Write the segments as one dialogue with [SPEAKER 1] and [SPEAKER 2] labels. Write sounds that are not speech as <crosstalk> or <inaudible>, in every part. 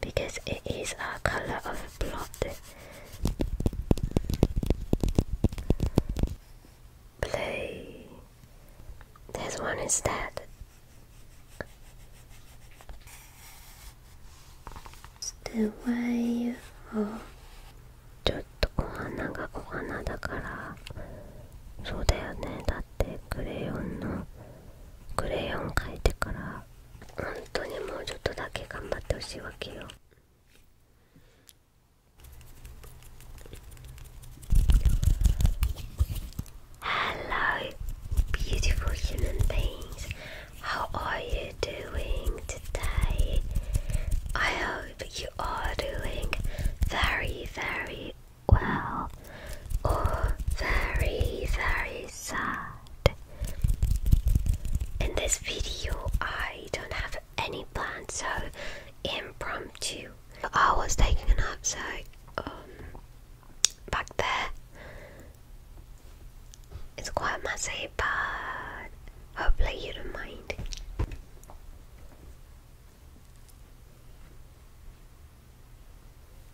[SPEAKER 1] because it is our color of blood. Play. There's one instead. The way ちょっとお花がお花だからそうだよねだってクレヨンのクレヨン描いてから本当にもうちょっとだけ頑張ってほしいわけよ Hello, beautiful human beings. How are you doing today? I hope you are doing very, very well or very, very sad. In this video, I don't have any plans, so impromptu. I was taking a nap, so um, back there it's quite messy, but hopefully you don't mind.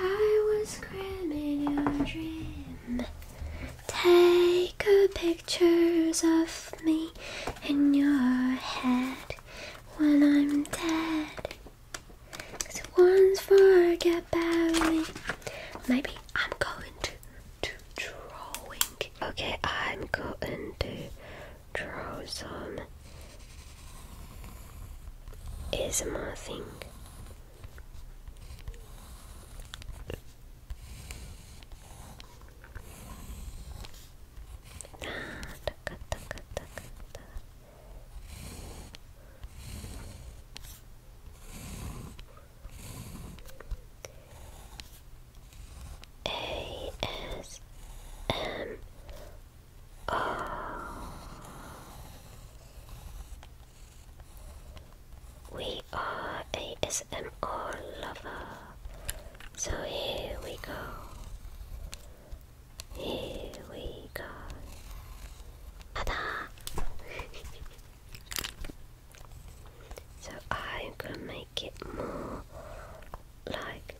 [SPEAKER 1] I was cramming your dream. Take a picture of me in your head when I'm dead. Cause once forget about me. Maybe I'm going to, to drawing. Okay, I'm going to draw some ASMR thing. A S M uh, we are ASMR lover. So here we go. Here we go. ta <laughs> so I'm gonna make it more like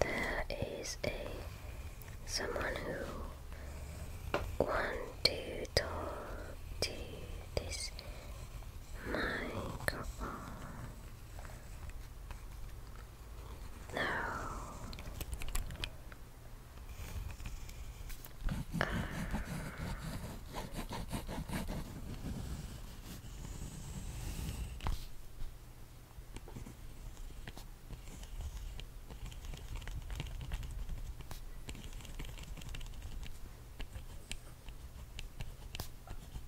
[SPEAKER 1] there is a someone who want to talk to this microphone. No.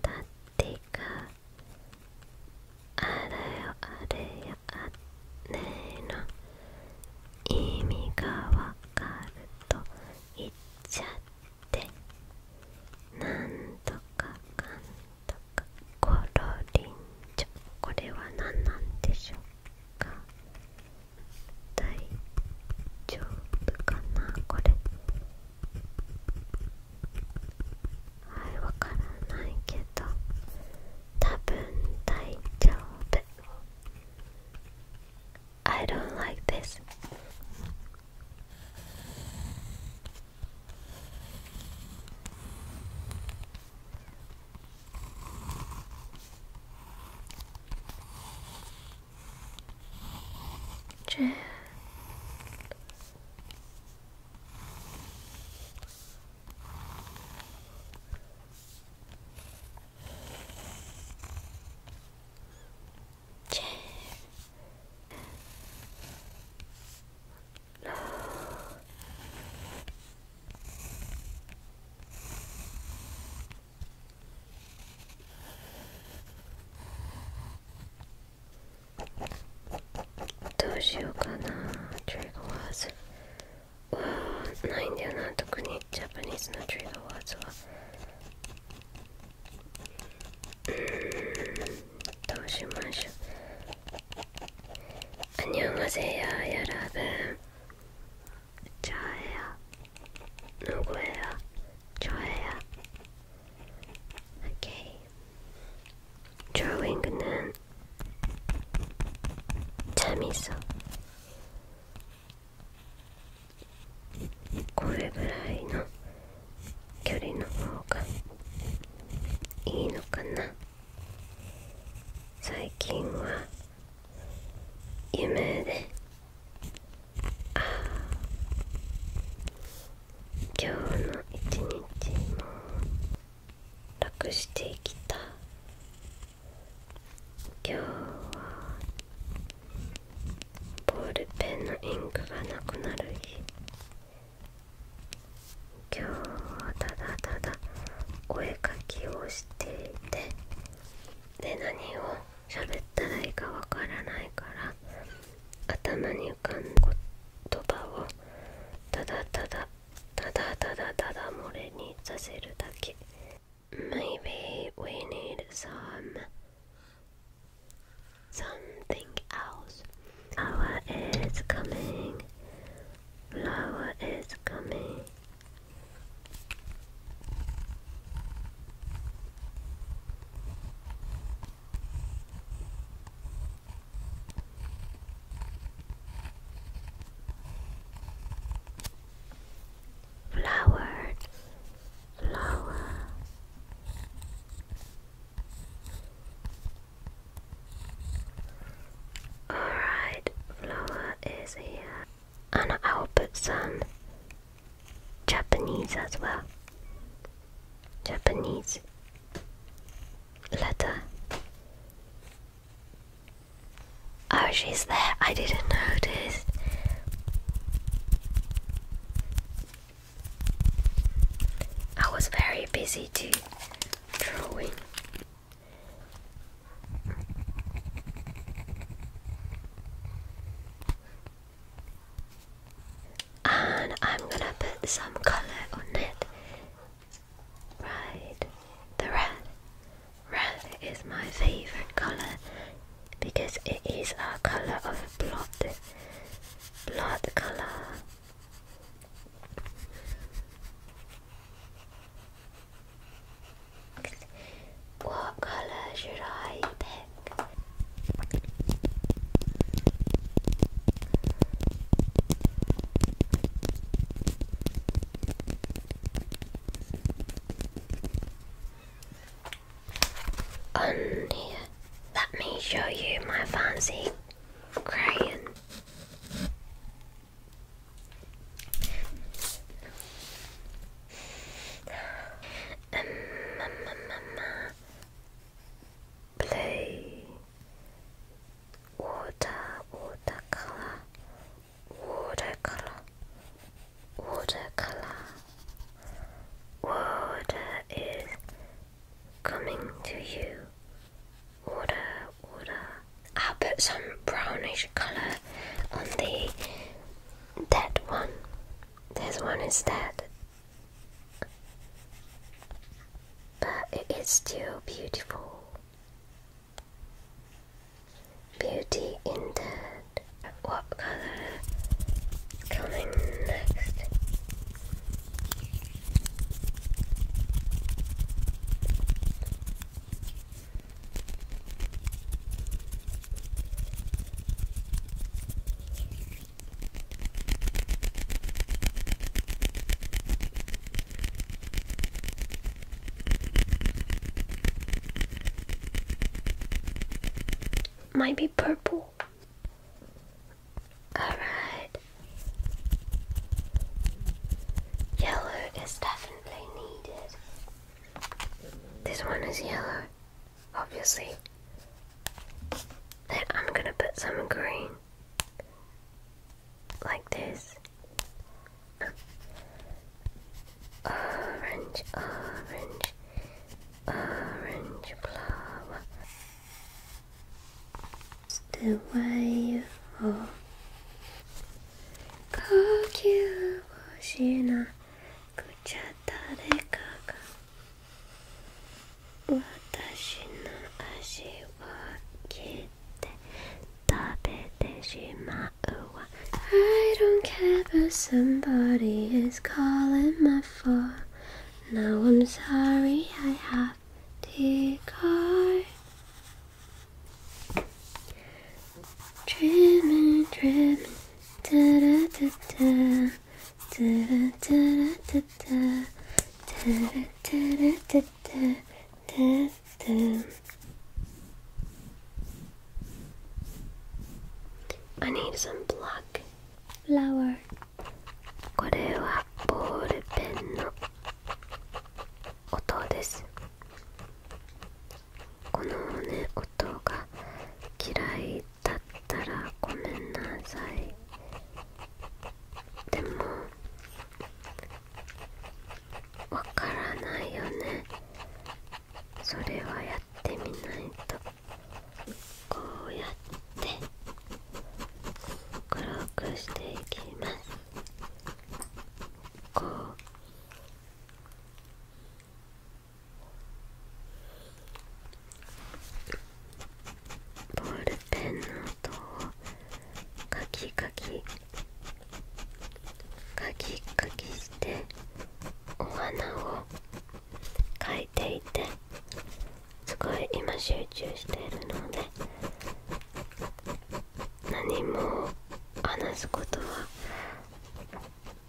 [SPEAKER 1] だってかあれよあれよあねえの意味がわかると言っちゃってなんとかかんとかころりんちょ、これは何なんでしょうか大丈夫かなこれはいわからないけどた多分大丈夫 I don't like this. Just どうしようかなトリガーワーズないんだよな特にジャパニーズのトリガーワーズはうーんどうしましょうアニョンマセヤーやらぶんちゃえやのごえやちょえや Okay. Drawing and then 茶味噌これぐらいの距離の方がいいのかな最近は夢であ今日の一日も楽してきた今日はボールペンのインクがなくなる日今日はただただお絵かきをしていてで何を喋ったらいいかわからないから頭に浮かんだ言葉をただただただただただ漏れにさせるだけ Maybe we need some something else Flower is coming Flower is coming flower flower Alright, flower is here. And i some Japanese as well. Japanese letter. Oh, she's there. I didn't notice. I was very busy too drawing. And I'm gonna put some colour on it Right, the red. Red is my favorite color because it is a color of blood. Blood color. What color should I pick? On um, here, let me show you my fancy crayon. Um, um, um, um uh, water, watercolor, watercolor, watercolor. Water is coming to you. Water, water. I'll put some brownish color on the that one. This one is dead. But it is still beautiful. Beauty in Dead. What color coming next? Might be purple. Alright. Yellow is definitely needed. This one is yellow, obviously. I'm gonna put some green like this. Orange, orange, orange flower. It's the way of 呼吸をしなくちゃ誰かが私の足を切 I don't care but somebody is calling my phone Now I'm sorry I have to go Dreaming, dreaming, da-da-da-da da da da da da da da da てて「I need some b l これはボールペンの音ですこの音が嫌いだったらごめんなさいでもわからないよねそれはやってみないとこうやって黒くしていきますこうボールペンのとカキカキカキカキしてお花を描いていてすごい今集中しているので何も話すことは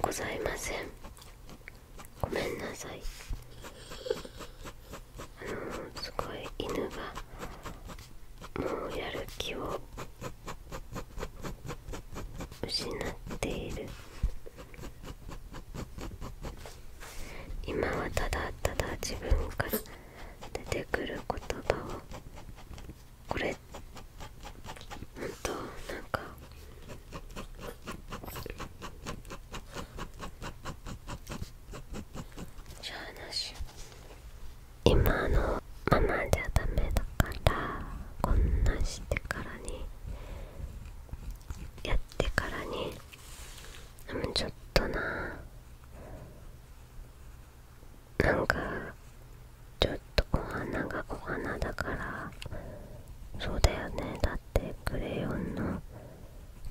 [SPEAKER 1] ございませんごめんなさいのすごい犬がもうやる気を失っている今はただただ自分から出てくる言葉をこれほんとなんか今のままじゃダメだからこんなしてからにやってからにちょっとななんかちょっと小鼻が小鼻だからそうだよねだってクレヨンの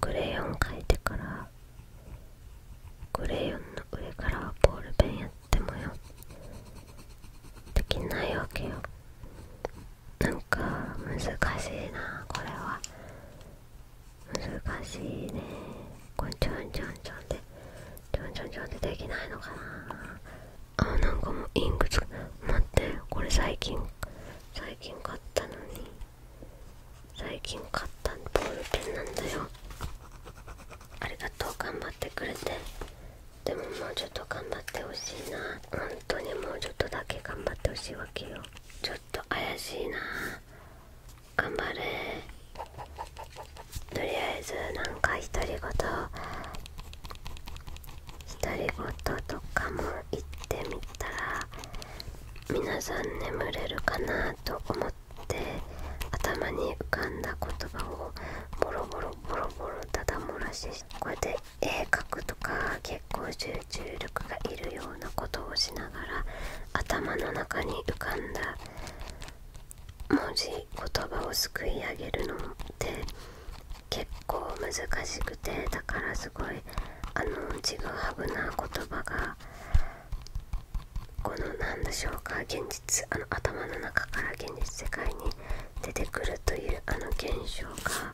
[SPEAKER 1] クレヨン描いてからグレヨンの上からはボールペンやってもよできないわけよなんか難しいなこれは難しいねこれちょんちょんちょんでちょんちょんちょんでできないのかなあなんかもうインクつ待ってこれ最近最近買ったのに最近買ったボールペンなんだよありがとう頑張ってくれてでももうちょっと頑張ってほしいな本当にもうちょっとだけ頑張ってほしいわけよちょっと怪しいな頑張れとりあえずなんか独り言独り言とかも言ってみたら皆さん眠れるかなと思って頭に浮かんだ言葉をボロボロボロボロただ漏らしこうやって絵描くとか結構集中力がいるようなことをしながら頭の中に浮かんだ文字言葉をすくい上げるのって結構難しくてだからすごいあのちぐハブな言葉がこの何でしょうか現実あの頭の中から現実世界に出てくるというあの現象が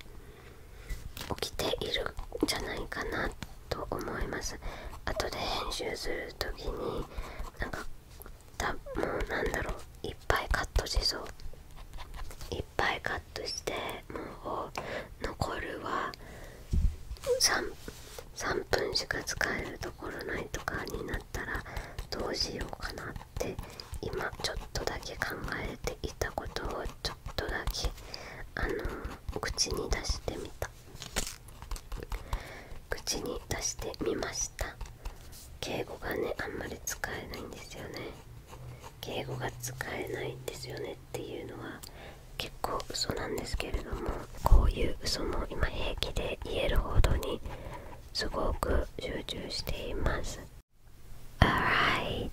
[SPEAKER 1] 起きているんじゃないかなと思います後で編集する時になんかだもうなんだろういっぱいカットしそういっぱいとしてもう残るは 3, 3分しか使えるところないとかになったらどうしようかなって今ちょっとだけ考えていたことをちょっとだけあの口に出してみた口に出してみました敬語がねあんまり使えないんですよね敬語が使えないんですよねっていうのは結構嘘なんですけれどもこういう嘘も今平気で言えるほどにすごく集中しています Alright,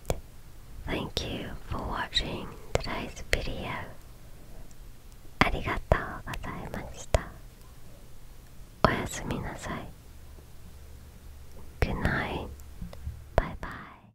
[SPEAKER 1] thank you for watching today's video ありがとうございましたおやすみなさい Good night. Bye bye.